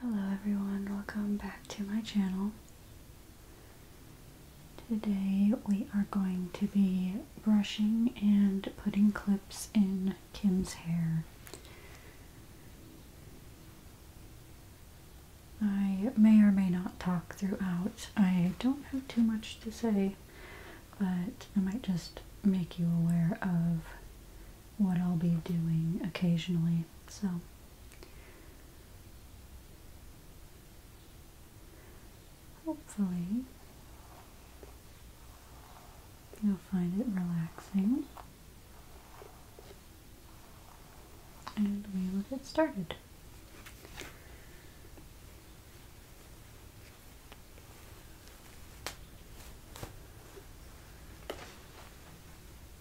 Hello everyone, welcome back to my channel. Today we are going to be brushing and putting clips in Kim's hair. I may or may not talk throughout. I don't have too much to say, but I might just make you aware of what I'll be doing occasionally. So, hopefully, you'll find it relaxing. And we will get started.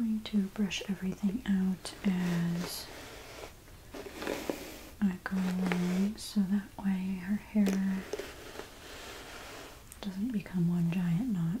I'm going to brush everything out as I go so that way her hair doesn't become one giant knot.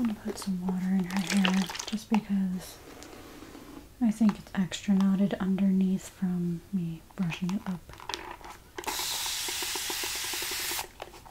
I'm going to put some water in her hair just because I think it's extra knotted underneath from me brushing it up.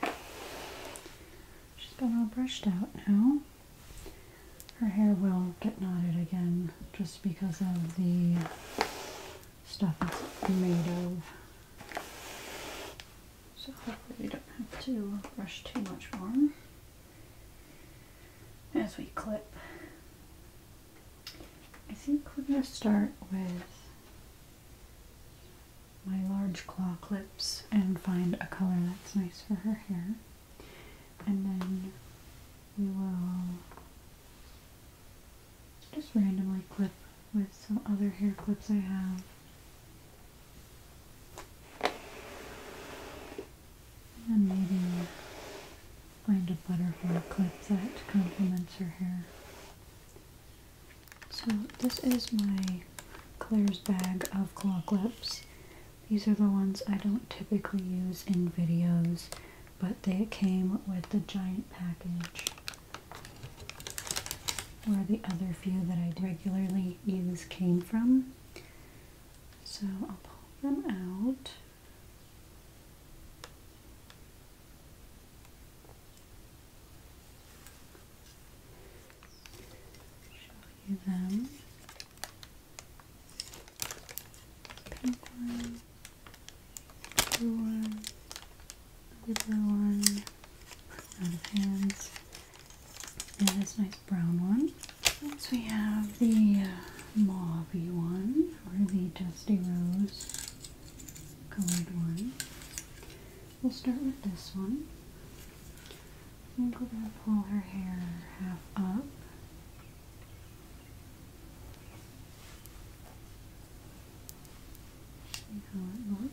Okay. She's been all brushed out now. Her hair will get knotted again just because of the stuff it's made of. So hopefully we don't have to brush too much more as we clip. I think we're going to start with my large claw clips and find a color that's nice for her hair. And then we will just randomly clip with some other hair clips I have and maybe find a butterfly clip that complements her hair. So this is my Claire's bag of claw clips. These are the ones I don't typically use in videos, but they came with the giant package. Where the other few that I regularly use came from. So I'll pull them out. Show you them. Pink one, blue one, blue one, out hands. And this nice brown one. Next we have the uh, one, or the dusty rose colored one. We'll start with this one. I think going to pull her hair half up. See how it looks.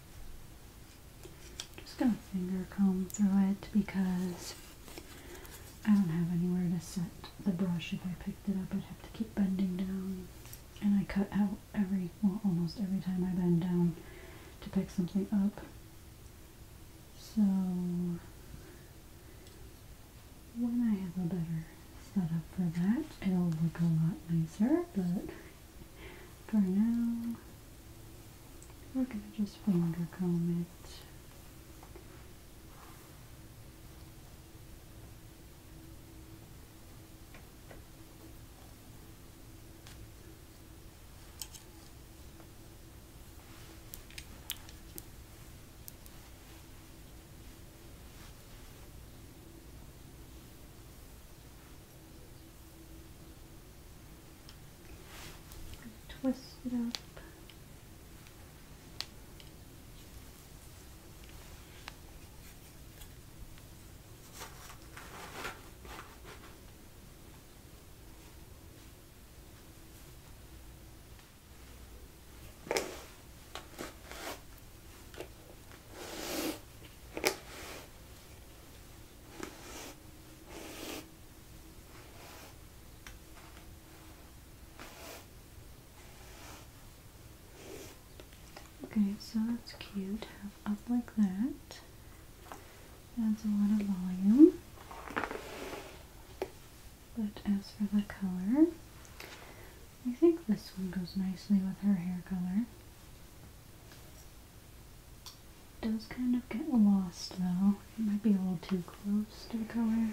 Just gonna finger comb through it because I don't have anywhere to set the brush. If I picked it up, I'd have to keep bending down. And I cut out every, well, almost every time I bend down to pick something up. So when I have a better setup for that, it'll look a lot nicer, but for now, we're going to just finger comb it twist it up. Okay, so that's cute. up like that. Adds a lot of volume. But as for the color, I think this one goes nicely with her hair color. It does kind of get lost though. It might be a little too close to the color.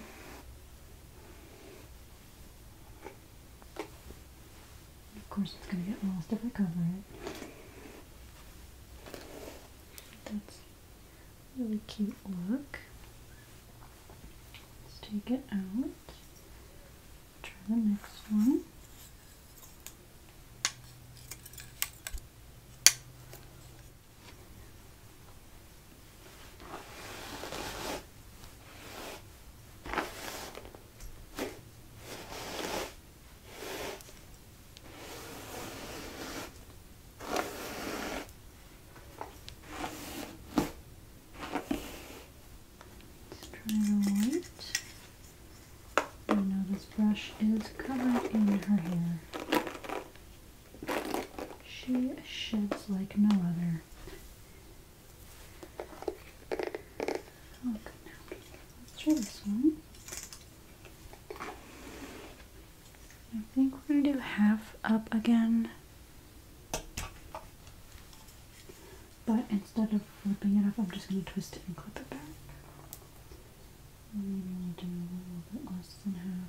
Of course it's going to get lost if I cover it. That's a really cute look. Let's take it out. Try the next one. Let's try the white. And now this brush is covered in her hair. She sheds like no other. Look oh, now. Let's try this one. I think we're going to do half up again. But instead of flipping it up, I'm just going to twist it and clip it back. Maybe we will do a little bit less than half.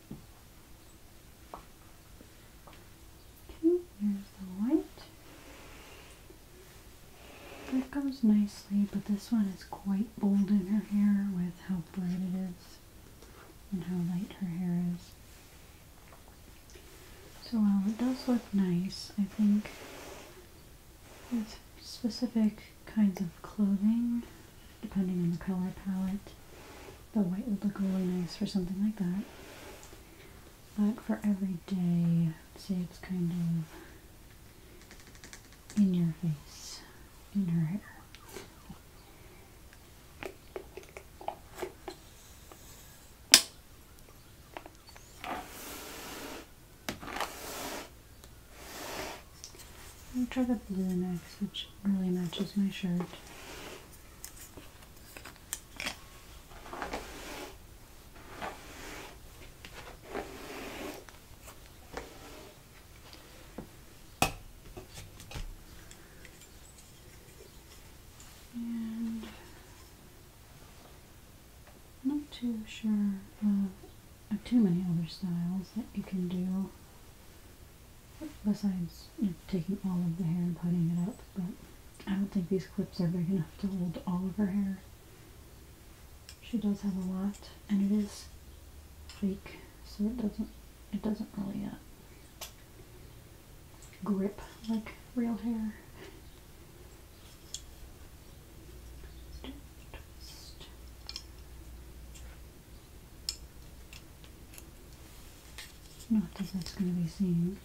Okay, here's the white. That goes nicely, but this one is quite bold in her hair with how bright it is and how light her hair is. So while it does look nice, I think with specific kinds of clothing depending on the color palette. The white would look really nice for something like that. But for every day, say it's kind of in your face, in your hair. I'll try the blue next, which really matches my shirt. And I'm not too sure of too many other styles that you can do. Besides taking all of the hair and putting it up, but I don't think these clips are big enough to hold all of her hair. She does have a lot, and it is fake, so it doesn't it doesn't really uh, grip like real hair. Not as that's going to be seen.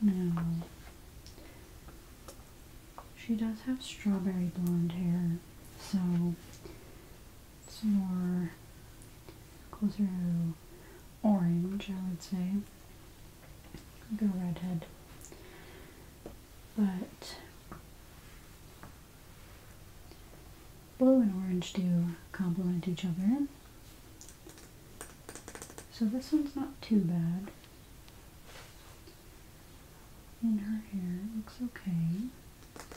Now, she does have strawberry blonde hair, so it's more closer to orange, I would say, like a redhead. But Blue and orange do complement each other. So this one's not too bad. In her hair, looks okay.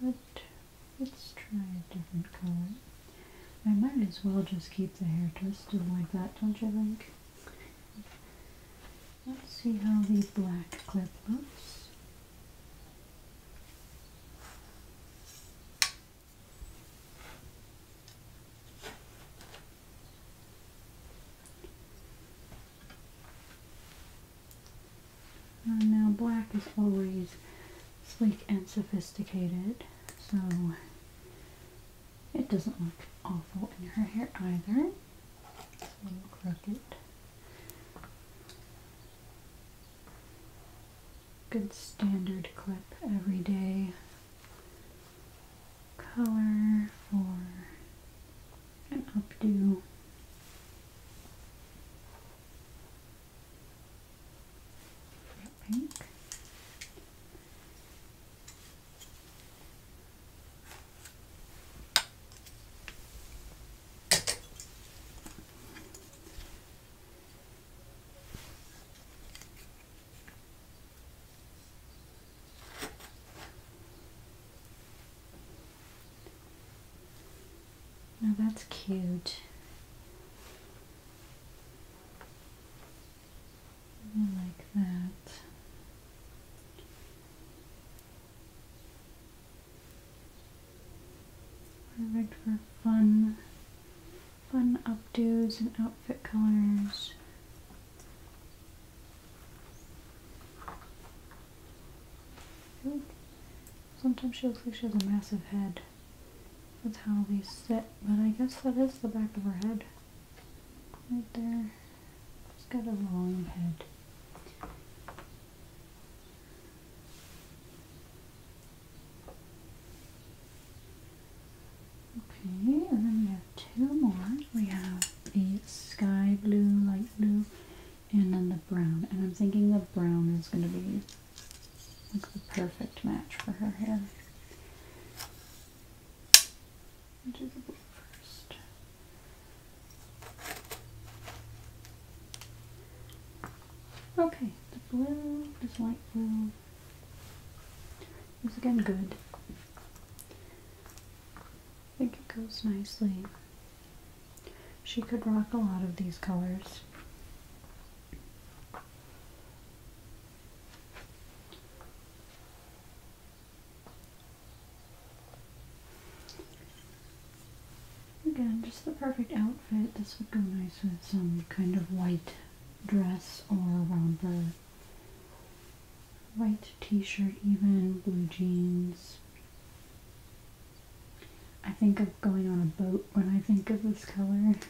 But let's try a different color. I might as well just keep the hair twisted like that, don't you think? Let's see how the black clip looks. Uh, now black is always sleek and sophisticated, so it doesn't look awful in her hair either. a little crooked. Good standard clip everyday color for an updo. Pink. Now that's cute. I like that. Perfect for fun, fun updos and outfit colors. Sometimes she looks like she has a massive head. That's how they sit, but I guess that is the back of her head. Right there. It's got a long head. Okay, and then we have two more. We have the sky blue, light blue, and then the brown. And I'm thinking the brown is going to be like the perfect match for her hair do the blue first. Okay, the blue, this light blue is again good. I think it goes nicely. She could rock a lot of these colors. Again, just the perfect outfit. This would go nice with some kind of white dress or a the white t-shirt even, blue jeans. I think of going on a boat when I think of this color.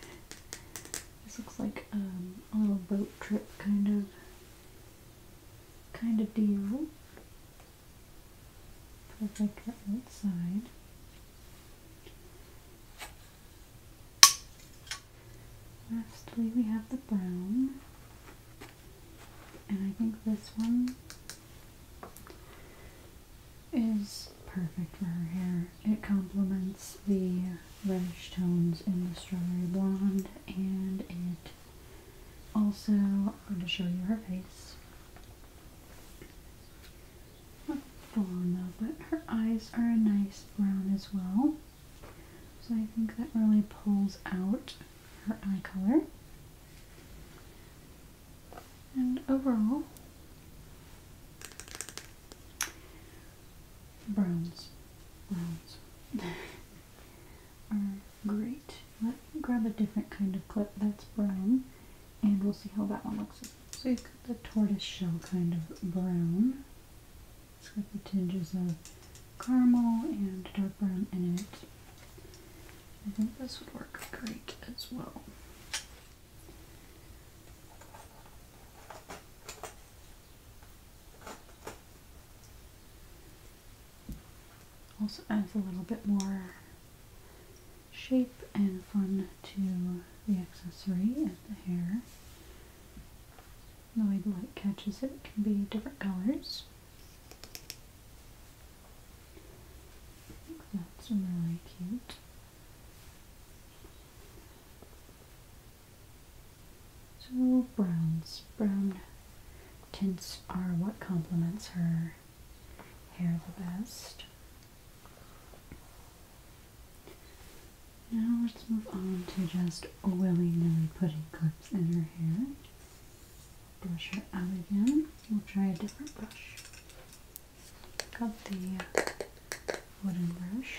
This looks like um, a little boat trip kind of kind of deal. Perfect for outside. Lastly, we have the brown. And I think this one is perfect for her hair. It complements the reddish tones in the Strawberry Blonde, and it also, I'm going to show you her face. Not full on but her eyes are a nice brown as well. So I think that really pulls out her eye color. And overall, browns, browns. Um, great. Let me grab a different kind of clip that's brown and we'll see how that one looks. So you've got the tortoise shell kind of brown. It's got the tinges of caramel and dark brown in it. I think this would work great as well. Also adds a little bit more shape and fun to the accessory and the hair. The way the light catches it can be different colors. I think that's really cute. So browns, brown tints are what complements her hair the best. Now let's move on to just willy-nilly putting clips in her hair. Brush her out again. We'll try a different brush. Got the uh, wooden brush.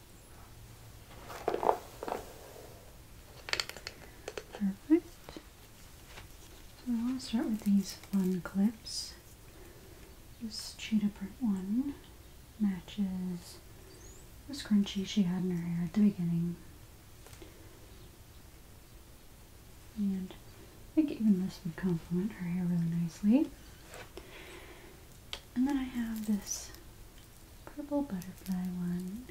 Perfect. So I'll start with these fun clips. This cheetah print one matches the scrunchie she had in her hair at the beginning. And I think even this would complement her hair really nicely. And then I have this purple butterfly one.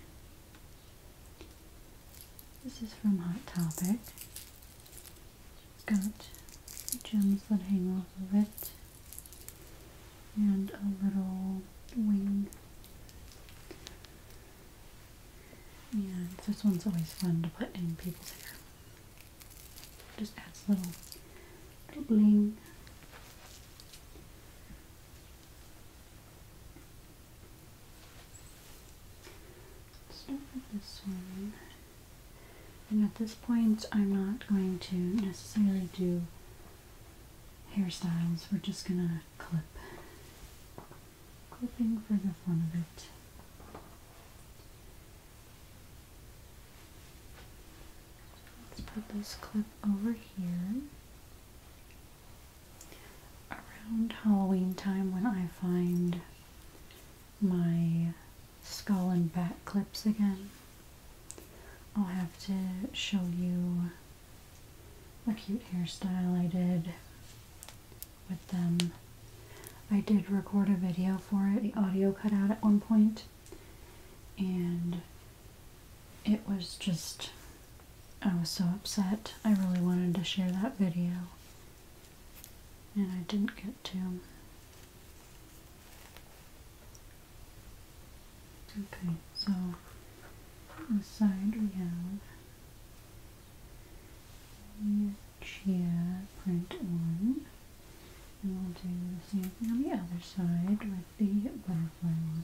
This is from Hot Topic. Got gems that hang off of it, and a little wing. And this one's always fun to put in people's hair. Just adds a little, little bling. Start with this one. And at this point, I'm not going to necessarily do hairstyles. We're just going to clip. Clipping for the fun of it. Let's put this clip over here around Halloween time when I find my skull and bat clips again. I'll have to show you a cute hairstyle I did with them. I did record a video for it, the audio cut out at one point, and it was just I was so upset. I really wanted to share that video. And I didn't get to. Okay, so the side we have the chia print one. And we'll do the same thing on the other side with the butterfly one.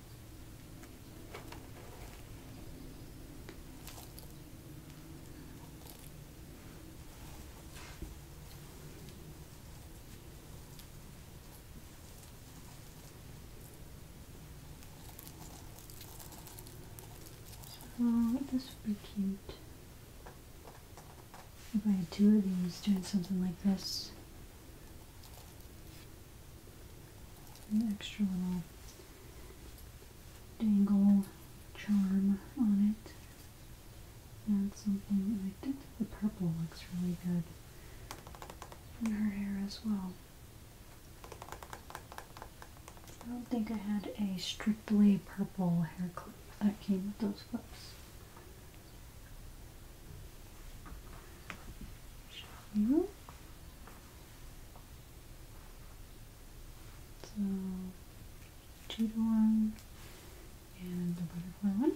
So this would be cute. If I had two of these doing something like this an extra little dangle charm on it. And something, and I think the purple looks really good in her hair as well. I don't think I had a strictly purple hair clip that came with those clips. Hmm? show to one and the butterfly one.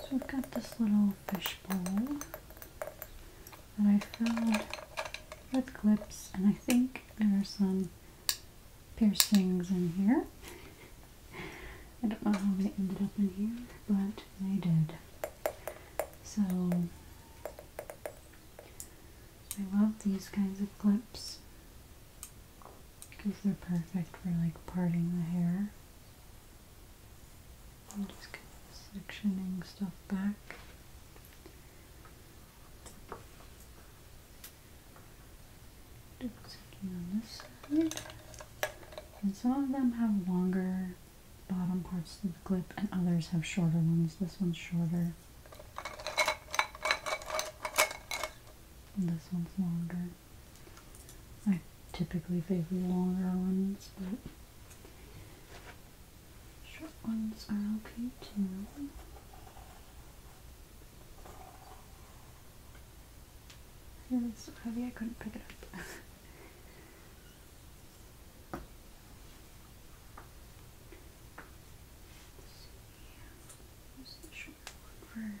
So we've got this little fishbowl that I filled with clips and I think there are some piercings in here. I don't know how they ended up in here, but they did. So I love these kinds of clips because they're perfect for like parting the hair I'm just sectioning stuff back. sectioning on this side. And some of them have longer bottom parts of the clip and others have shorter ones. This one's shorter. this one's longer. I typically favor longer ones, but short ones are okay too. It was so heavy I couldn't pick it up. Where's the short one for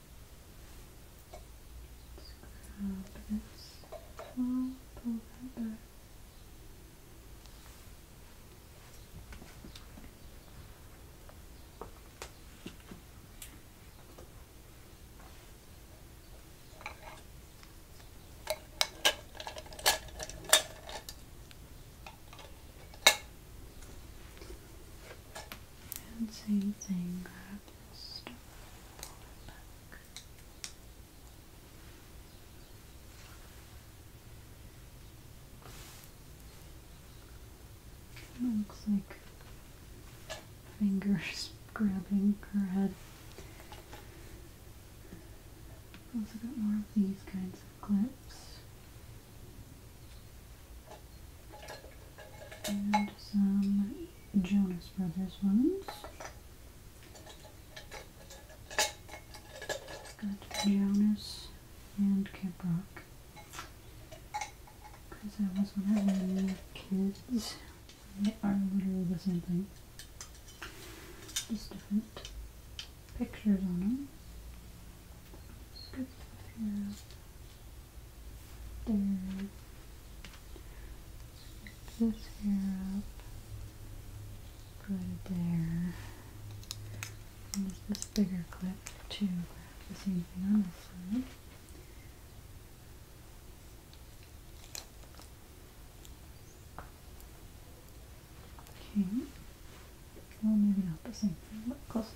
Grab this. i pull that back. And same thing, it back. It looks like fingers grabbing her head. Also got more of these kinds of clips and some Jonas Brothers ones. Got Jonas and Kid Rock. Because I wasn't having any kids. They are literally the same thing. Just different pictures on them. Let's here third. Lift this hair up. Put it there. And use this bigger clip to grab the same thing on this side. Okay. Well, maybe not the same thing, but close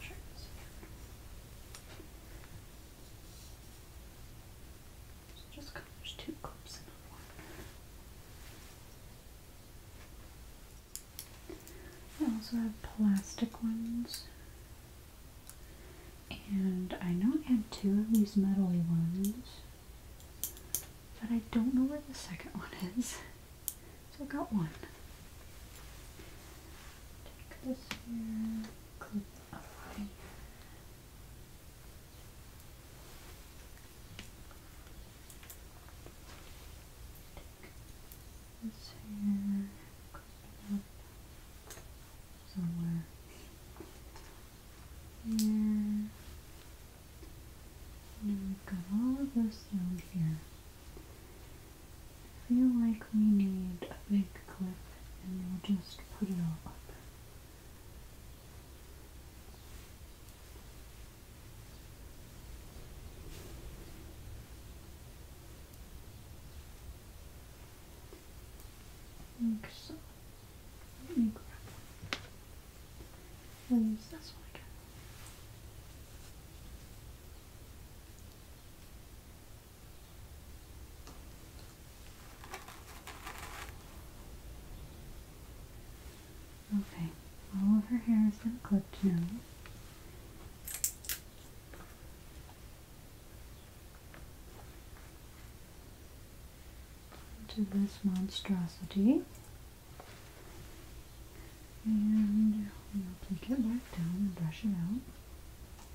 Sure. So just cut, there's two clips in one. I also have plastic ones. And I know I had two of these metal ones, but I don't know where the second one is. So I got one. Take this here, clip up Take this here, clip it up somewhere here. And we've got all of this down here. I feel like we need a big clip and we'll just put it all up. Like so. Let me grab one. Use this one Okay, all of her hair is been clipped now. To this monstrosity. And we'll take it back down and brush it out.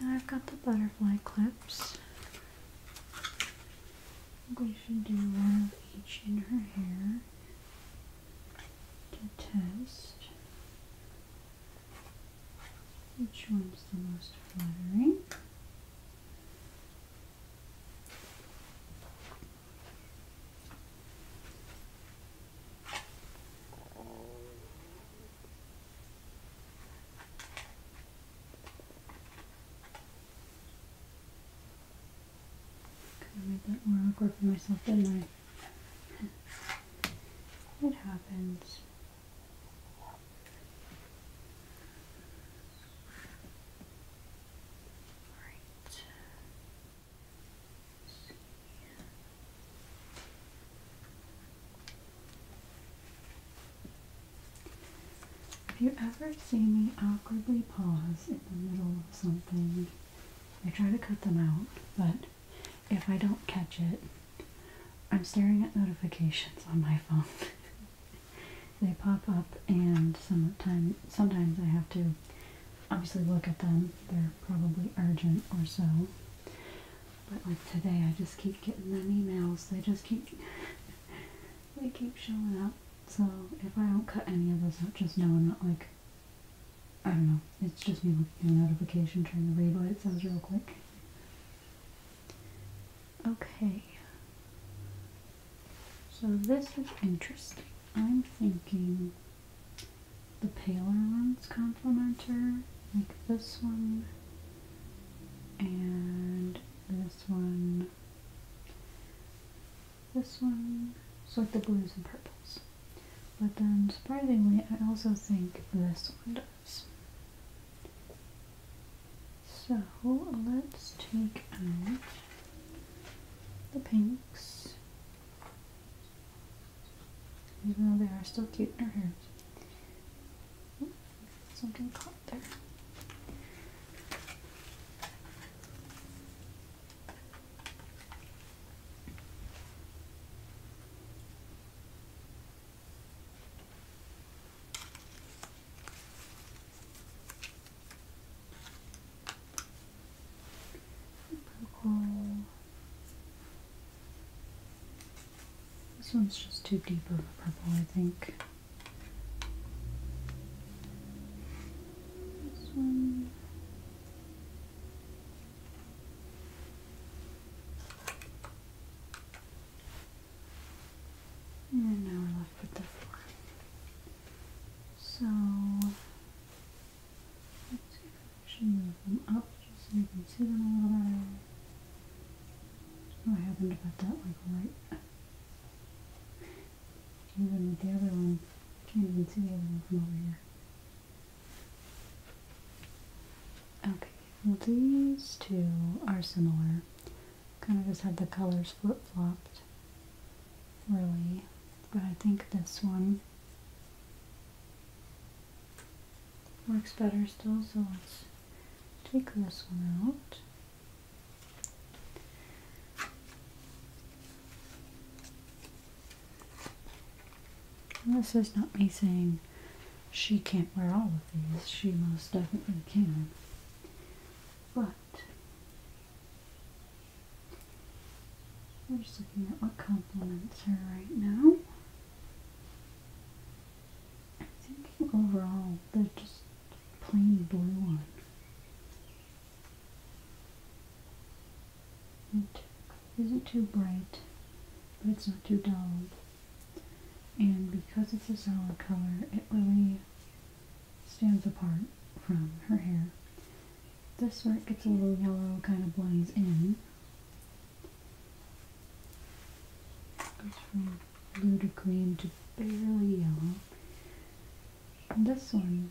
Now I've got the butterfly clips. We should do one of each in her hair to test which one's the most flattering. I made that more awkward for myself, didn't I? it happens. Right. Have you ever seen me awkwardly pause in the middle of something? I try to cut them out, but if I don't catch it, I'm staring at notifications on my phone. They pop up, and sometime, sometimes I have to obviously look at them. They're probably urgent or so. But like today, I just keep getting them emails. They just keep they keep showing up. So if I don't cut any of those out, just know I'm not like I don't know. It's just me looking at a notification, trying to read what it says real quick. Okay. So this is interesting. I'm thinking the paler ones complement her, like this one and this one, this one. So like the blues and purples. But then surprisingly, I also think this one does. So let's take out the pinks, even though they are still cute in her hair. something caught there. This one's just too deep of a purple, I think. And now we're left off with the four. So see if I should move them up just so you can see them a little bit. Oh, what happened about that like right? Even with the other one, can't even see the other one from over here. Okay, well these two are similar kind of just had the colors flip-flopped really but I think this one works better still so let's take this one out this is not me saying she can't wear all of these she most definitely can but we're just looking at what complements her right now. I'm thinking overall they're just plain blue on. It isn't too bright, but it's not too dull. And because it's a solid color, it really stands apart from her hair. This one gets a little yellow, kind of blends in. Goes from blue to green to barely yellow. this one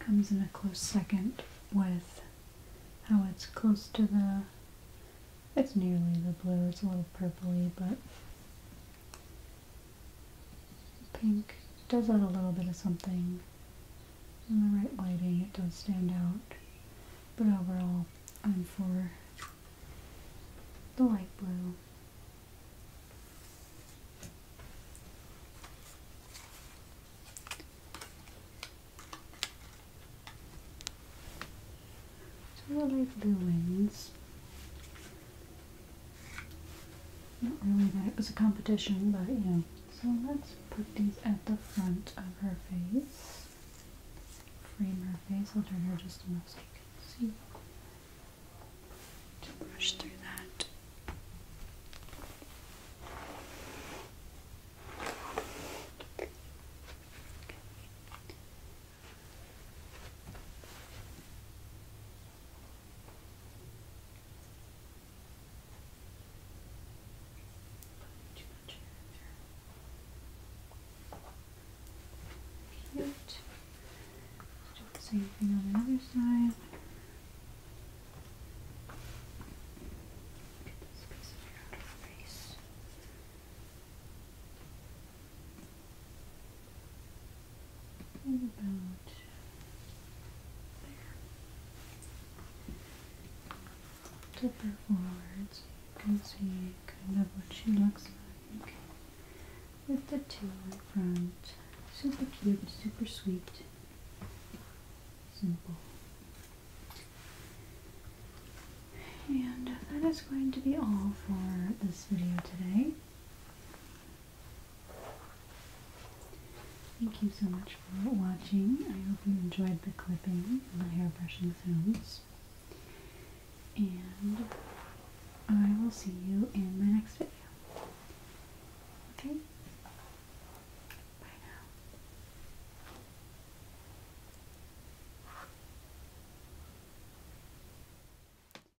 comes in a close second with how it's close to the, it's nearly the blue, it's a little purply, but pink does add a little bit of something. In the right lighting, it does stand out. But overall, I'm for the light blue. So the light blue wins. Not really that it was a competition, but you know. So let's put these at the front of her face. Frame her face. I'll turn her just enough so you can see. To brush through that. Cute. Do the same thing on the other side. Get this piece of hair face and about there. Tip her forward so you can see kind of what she looks like with the two in front. Super cute, super sweet, simple. And that is going to be all for this video today. Thank you so much for watching. I hope you enjoyed the clipping and the hair brushing sounds. And I will see you in my next video. Okay? Bye now.